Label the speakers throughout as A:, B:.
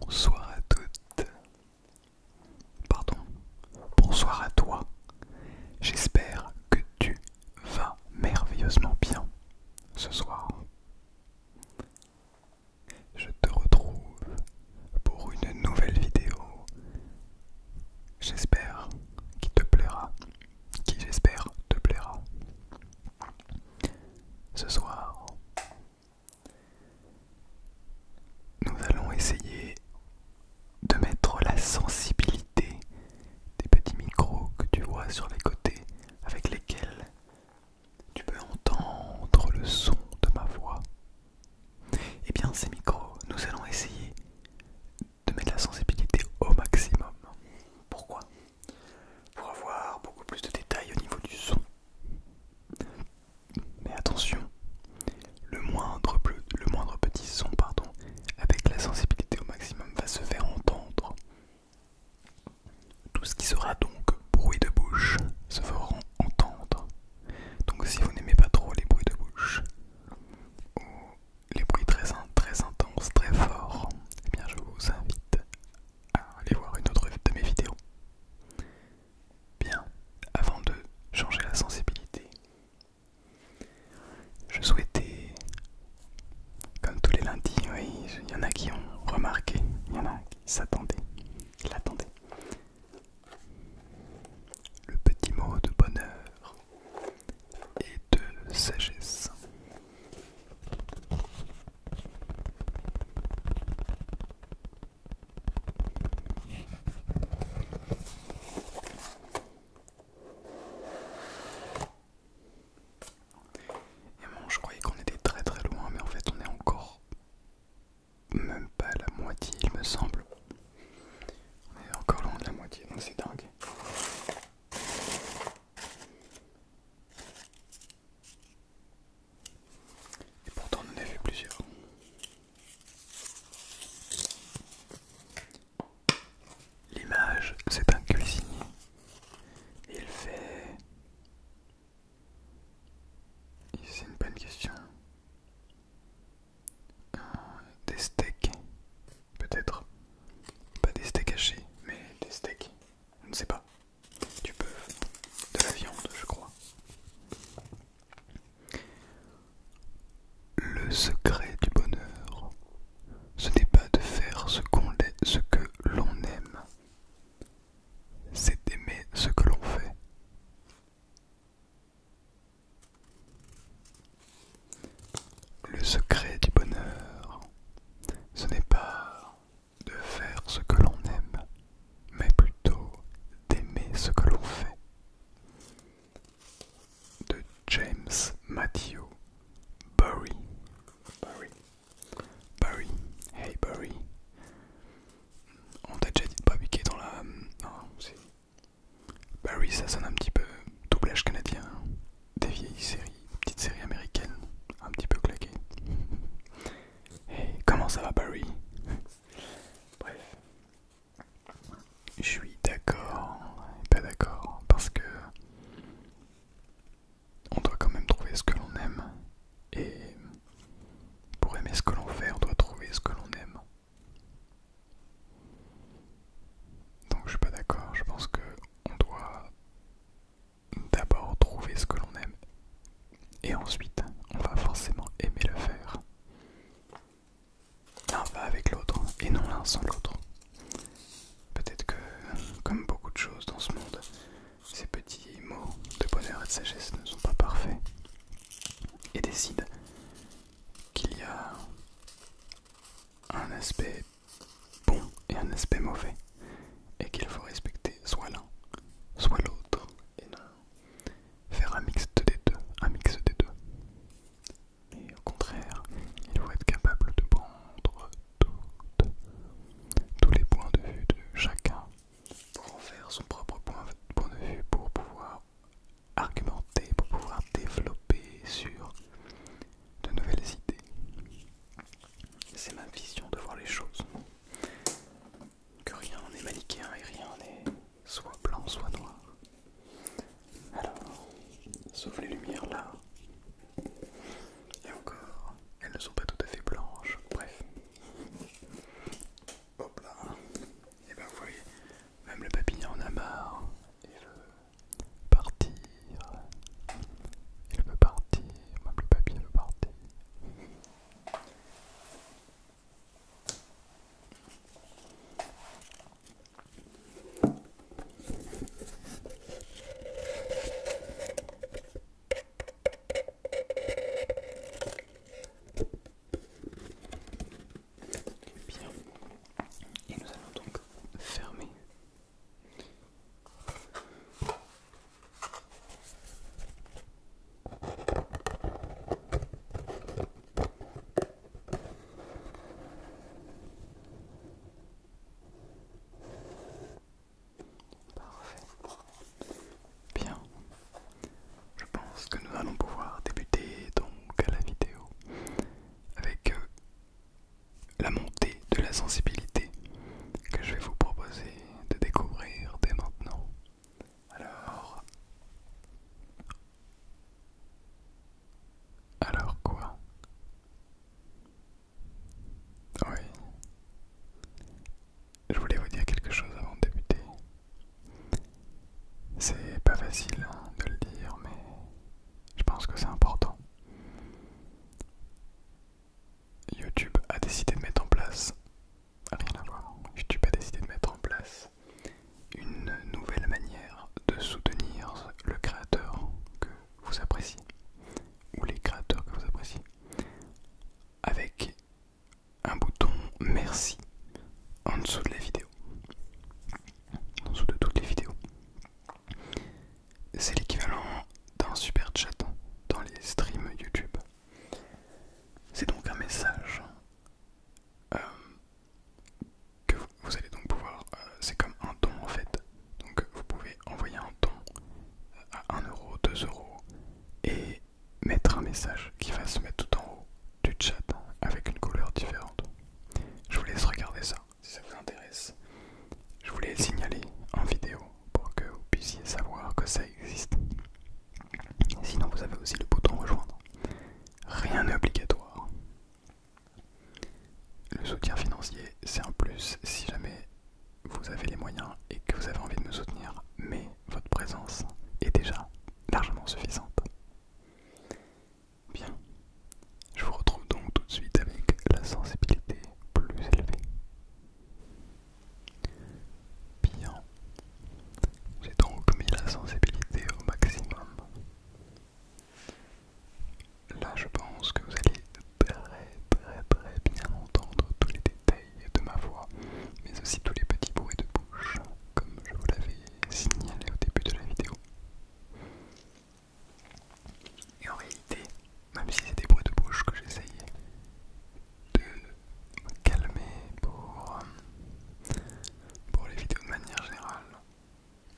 A: Bonsoir à toutes. Pardon. Bonsoir à toi. J'espère que tu vas merveilleusement bien ce soir. Je te retrouve pour une nouvelle vidéo. J'espère qu'il te plaira. Qui j'espère te plaira. Ce soir, nous allons essayer de mettre la sensibilité des petits micros que tu vois sur les côtés avec lesquels tu peux entendre le son de ma voix. Eh bien ces micros, nous allons essayer de mettre la sensibilité au maximum. Pourquoi pour avoir beaucoup plus de détails au niveau du son. Mais attention, le moindre, petit son pardon, avec la sensibilité au maximum va se faire entendre. Tout ce qui sera donc bruit de bouche se fera entendre. Donc si vous n'aimez pas trop les bruits de bouche, ou les bruits très, très intenses, très forts, eh bien je vous invite à aller voir une autre de mes vidéos. Bien, avant de changer la sensibilité, je souhaitais, comme tous les lundis, oui, il y en a qui ont remarqué, il y en a qui s'attendaient, qui l'attendaient. Le petit mot de bonheur et de sagesse. Et bon, je croyais qu'on était très très loin, mais en fait on est encore même pas à la moitié, il me semble. On est encore loin de la moitié, donc c'est dingue. Et pourtant on en a vu plusieurs. L'image, c'est un cuisinier. Il fait... C'est une bonne question. Euh, des steaks, peut-être. Pas des steaks hachés, mais des steaks. Je ne sais pas. Tu bœuf, de la viande, je crois. Le secret du bonheur, ce n'est pas de faire ce, ce que l'on aime, c'est d'aimer ce que l'on fait. Le secret du bonheur, ce n'est pas de faire ce que l'on aime, mais plutôt d'aimer ce que l'on fait. De James Matthew Barry. Barry. Barry. Hey Barry. On t'a déjà dit de pas piquer dans la. Euh, non, si. Barry, ça sonne un petit peu doublage canadien des vieilles séries, petite petites séries américaines, un petit peu claquées. Hey, comment ça va Barry Bref. Je suis d'accord pas d'accord parce que on doit quand même trouver ce que l'on aime et pour aimer ce que l'on fait on doit trouver ce que l'on aime. Donc je suis pas d'accord, je pense que on doit d'abord trouver ce que l'on aime et ensuite on va forcément aimer le faire. L'un va avec l'autre et non l'un sans l'autre. Peut-être que, comme beaucoup de choses dans ce monde, ces petits mots de bonheur et de sagesse ne sont pas parfaits et décide qu'il y a un aspect bon et un aspect mauvais, et qu'il faut respecter soit l'un, soit l'autre, et non faire un mix des deux, un mix des deux. Et au contraire, il faut être capable de prendre toutes, tous les points de vue de chacun pour en faire son propre point de vue, pour pouvoir argumenter, pour pouvoir développer sur de nouvelles idées. C'est ma vision de voir les choses. Que rien n'est manichéen et rien n'est soit blanc, soit noir. Alors, sauf les lumières là. Et encore, elles ne sont pas tout à fait blanches. Bref. Hop là. Et ben vous voyez, même le papillon en a marre. Et le partir. Il veut partir. Moi, plus pas veut partir. Eh bien. Et nous allons donc fermé. Parfait. Bien. Je pense que nous allons pouvoir débuter donc à la vidéo avec euh, la montée de la sensibilité que je vais vous proposer de découvrir dès maintenant. Alors... Alors quoi Oui. Je voulais vous dire quelque chose avant de débuter. C'est pas facile hein, de le dire, mais je pense que c'est important. YouTube a décidé de mettre en place, rien à voir, YouTube a décidé de mettre en place une nouvelle manière de soutenir le créateur que vous appréciez, ou les créateurs que vous appréciez, avec un bouton merci en dessous de la vidéo en dessous de toutes les vidéos. C'est l'équivalent d'un super chat dans les streams YouTube. C'est donc un message euh, que vous, allez donc pouvoir. Euh, c'est comme un don en fait. Donc vous pouvez envoyer un don euh, à 1€, 2€ et mettre un message qui va se mettre tout en haut du chat avec une couleur différente. Je vous laisse regarder ça si ça vous intéresse. Je vous le signaler en vidéo pour que vous puissiez savoir que ça existe. Sinon vous avez aussi le bouton rejoindre. Rien n'est obligatoire. Le soutien financier c'est un plus si jamais vous avez les moyens et que vous avez envie de me soutenir, mais votre présence est déjà largement suffisante. Bien, je vous retrouve donc tout de suite avec la sensibilité plus élevée. Bien, j'ai donc mis la sensibilité au maximum. Là, je pense que vous allez très très très bien entendre tous les détails de ma voix, mais aussi tous les petits bruits de bouche, comme je vous l'avais signalé au début de la vidéo. Et en réalité, même si c'est des bruits de bouche que j'essayais de me calmer pour, euh, pour les vidéos de manière générale,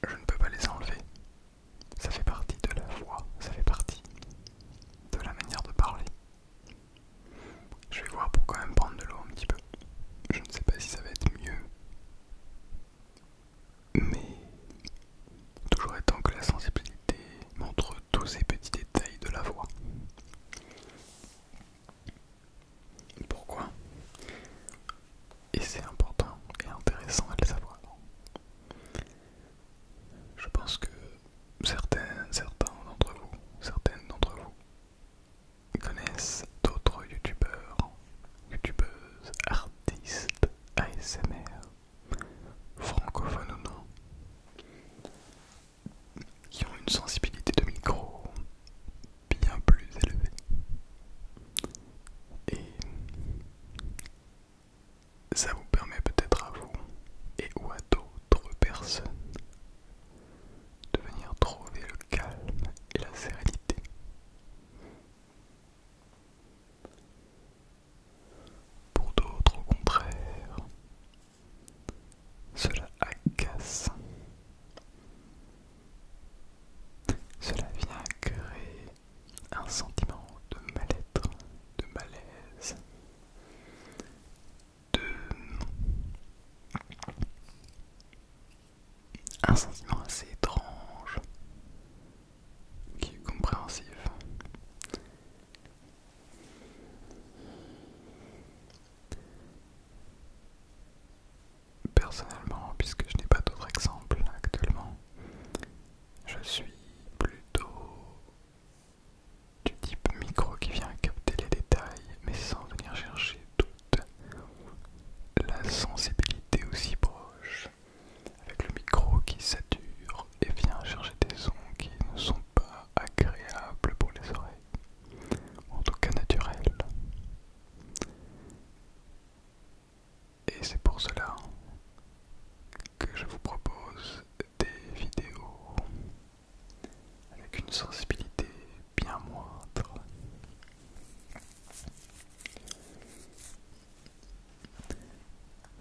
A: je ne peux pas les enlever. Ça fait partie de la voix, ça fait partie de la manière de parler. Je vais voir pour quand même prendre de l'eau un petit peu. Je ne sais pas si ça va être mieux mais toujours étant que la sensibilité montre tous ces petits détails de la voix. Pourquoi Et c'est important et intéressant à le savoir. Je pense que certains, certains d'entre vous, certaines d'entre vous connaissent d'autres youtubeurs, youtubeuses, artistes, ASMR, francophones ou non, qui ont une sensibilité de micro bien plus élevée. Et ça vous permet peut-être à vous et ou à d'autres personnes de venir trouver le calme et la sérénité. Pour d'autres, au contraire, cela agace. Cela vient créer un sentiment de mal-être, de malaise, de un sentiment assez étrange qui est compréhensif. Personnellement, puisque je n'ai pas d'autres exemples actuellement, je suis plutôt du type micro qui vient capter les détails mais sans venir chercher tout la sensibilité aussi proche, avec le micro qui sature et vient chercher des sons qui ne sont pas agréables pour les oreilles, en tout cas naturels. Et c'est pour cela que je vous propose des vidéos avec une sensibilité bien moindre.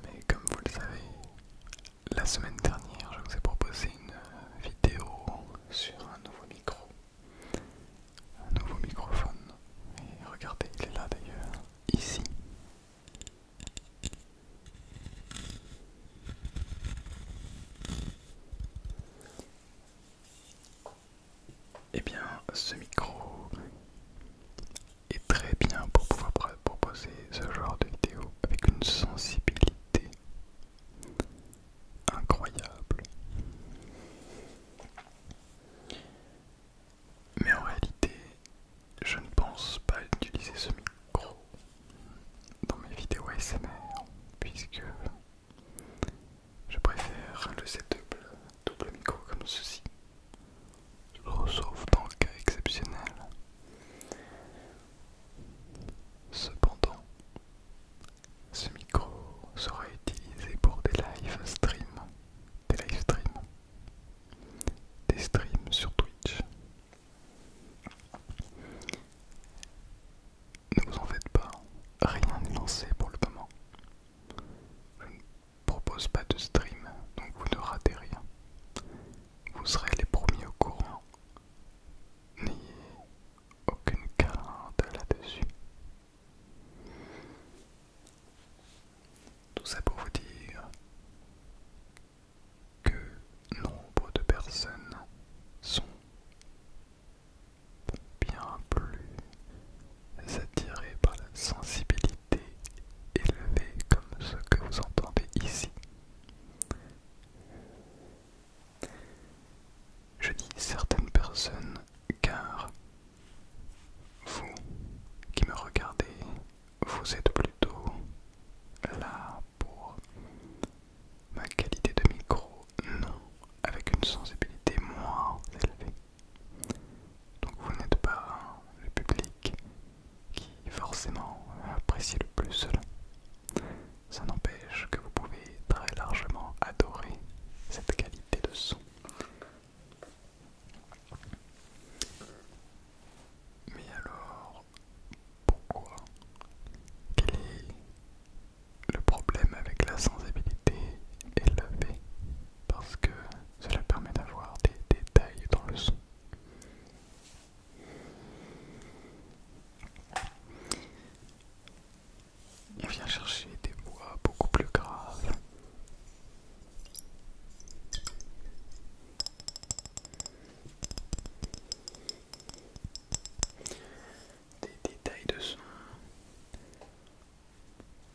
A: Mais comme vous le savez, la semaine dernière, je vous ai proposé une vidéo sur un nouveau micro, un nouveau microphone. Et regardez, il est là d'ailleurs, ici. Eh bien, ce micro est très bien pour pouvoir proposer ce genre de vidéo avec une sensibilité incroyable. Mais en réalité, je ne pense pas utiliser ce micro dans mes vidéos ASMR puisque je préfère le setup double micro comme ceci, sauf dans le cas exceptionnel. Cependant, ce micro sera utilisé pour des live streams, des live streams, des streams sur Twitch. Ne vous en faites pas, rien n'est lancé pour le moment. Je ne propose pas de stream, donc vous ne ratez rien. Vous serez les premiers au courant. N'ayez aucune carte là-dessus. Tout ça pour vous dire que nombre de personnes sont bien plus attirées par la sensibilité élevée comme ce que vous entendez ici. Je dis certaines personnes car vous qui me regardez, vous êtes plutôt là pour ma qualité de micro, non, avec une sensibilité moins élevée. Donc vous n'êtes pas le public qui forcément apprécie le plus cela. Ça n'empêche que vous pouvez très largement adorer cette qualité de son. Mais alors, pourquoi, quel est le problème avec la sensibilité élevée, parce que cela permet d'avoir des détails dans le son. Il vient chercher des voix beaucoup plus graves des détails de son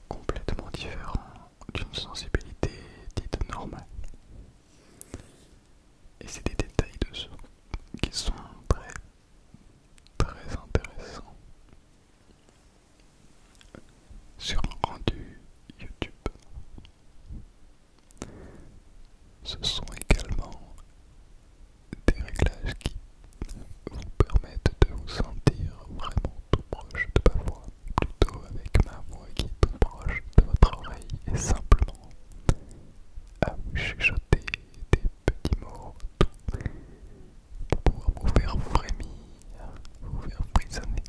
A: complètement différents d'une sensibilité dite normale. Et c'est des détails de son qui sont très très intéressants sur un rendu YouTube. Ce sont également des réglages qui vous permettent de vous sentir vraiment tout proche de ma voix, plutôt avec ma voix qui est tout proche de votre oreille et simplement à vous chuchoter des petits mots pour pouvoir vous faire frémir, vous faire frissonner.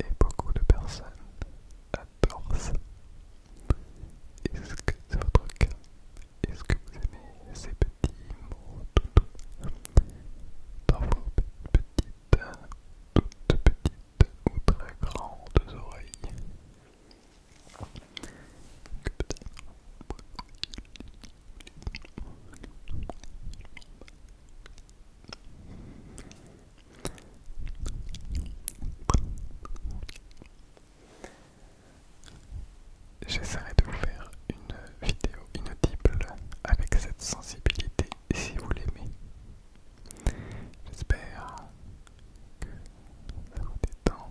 A: Et beaucoup de personnes adorent ça. Est-ce que c'est votre cas Est-ce que vous aimez ces petits mots dans vos petites, toutes petites ou très grandes oreilles J'essaierai de vous faire une vidéo inaudible avec cette sensibilité si vous l'aimez. J'espère que ça vous détend.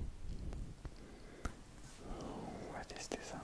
A: On va tester ça.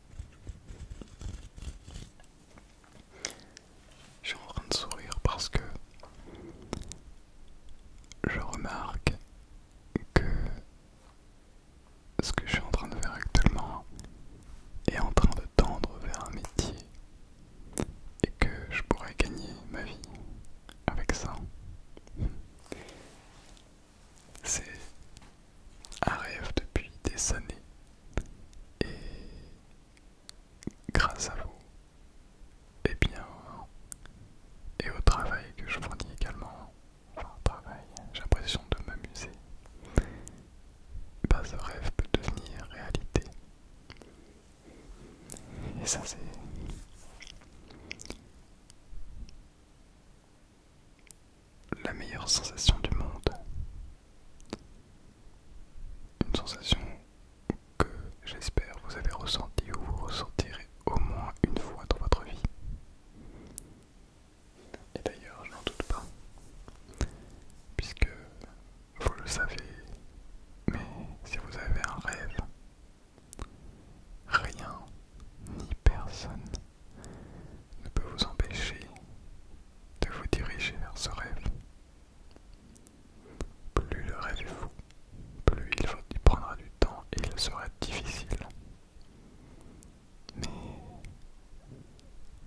A: Je suis en train de sourire parce que je remarque que ce que je suis en train de faire actuellement est en train de tendre vers un métier et que je pourrais gagner ma vie avec ça. C'est un rêve depuis des années et grâce à vous, et eh bien, et au travail que je fournis également, enfin travail, j'ai l'impression de m'amuser, bah, ce rêve peut devenir réalité. Et ça c'est la meilleure sensation du monde. Une sensation que j'espère vous avez ressentie ou vous ressentirez au moins une fois dans votre vie. Et d'ailleurs, je n'en doute pas, puisque vous le savez, mais si vous avez un rêve, Rien ni personne ne peut vous empêcher de vous diriger vers ce rêve. Plus le rêve est fou, plus il, prendra du temps et il sera difficile. Mais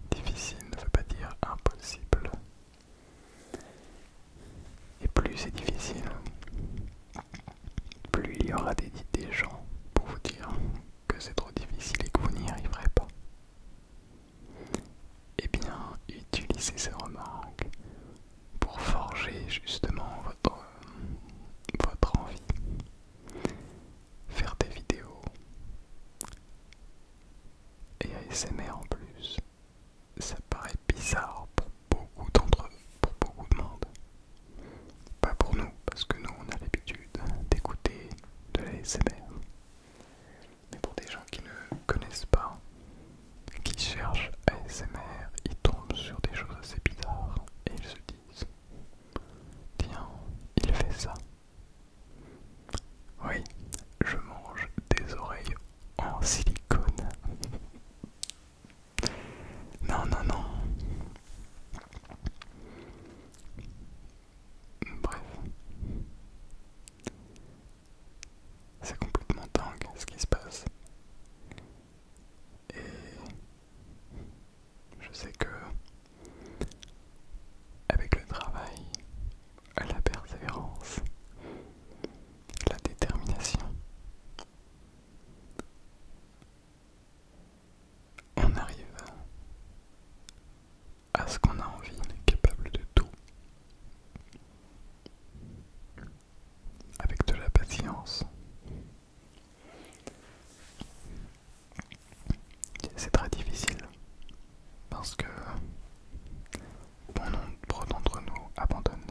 A: difficile ne veut pas dire impossible. Et plus c'est difficile, plus il y aura des, gens pour vous dire que c'est trop difficile et que vous n'y arriverez pas. Et eh bien, utilisez ces remarques pour forger justement votre, votre envie. Faire des vidéos et ASMR en plus, ça paraît bizarre beaucoup d'entre eux, pour beaucoup de monde. Pas pour nous, parce que nous on a l'habitude d'écouter de l'ASMR. Mais pour des gens qui ne connaissent pas, qui cherchent ASMR, ils tombent sur des choses assez bizarres et ils se disent Tiens, il fait ça. Oui, je mange des oreilles en silicone. Non, non, non. Bref. C'est complètement dingue ce qui se passe. Et je sais que avec le travail, la persévérance, la détermination, on arrive à ce qu'on a envie, on est capable de tout. Avec de la patience. C'est très difficile parce que bon nombre d'entre nous abandonnent.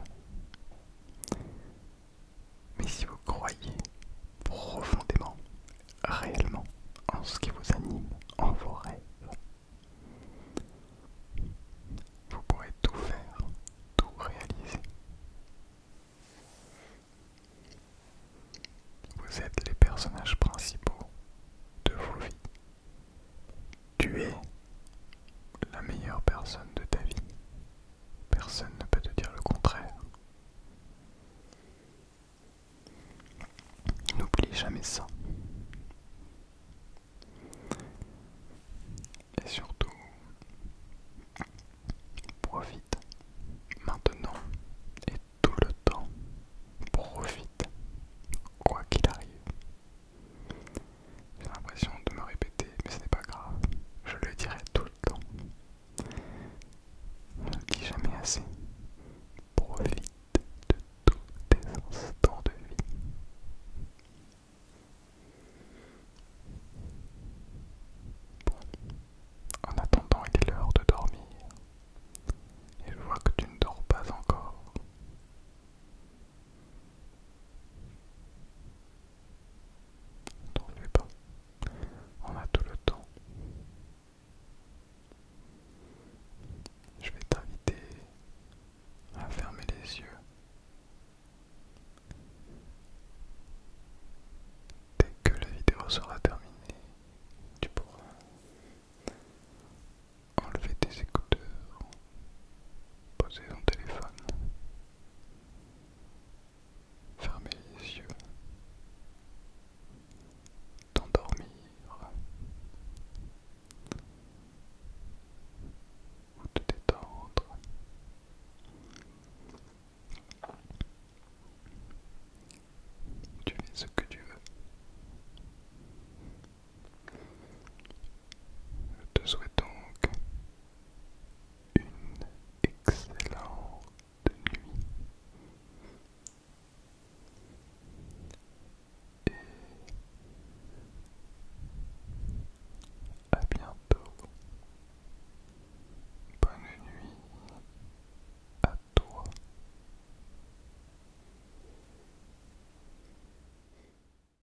A: Mais si vous croyez profondément, réellement, en ce qui vous anime, en vos rêves, vous pourrez tout faire, tout réaliser. Vous êtes les personnages principaux de vos vies. Tu es la meilleure personne de ta vie. Personne ne peut te dire le contraire. N'oublie jamais ça. Et surtout, profite maintenant et tout le temps. Profite, quoi qu'il arrive. J'ai l'impression de me répéter, mais ce n'est pas grave. Je le dirai tout le temps. Je ne dis jamais assez. Profite de tous tes instants de vie. en attendant, il est l'heure de dormir. Et je vois que tu ne dors pas encore. T'en pas. On a tout le temps. Je vais t'inviter à fermer les yeux. Dès que la vidéo sera terminée, tu pourras enlever tes écouteurs Poser ton téléphone. Fermez les yeux. T'endormir. Ou te détendre. Tu fais ce que tu veux. Je te souhaite donc une excellente nuit et à bientôt. Bonne nuit à toi.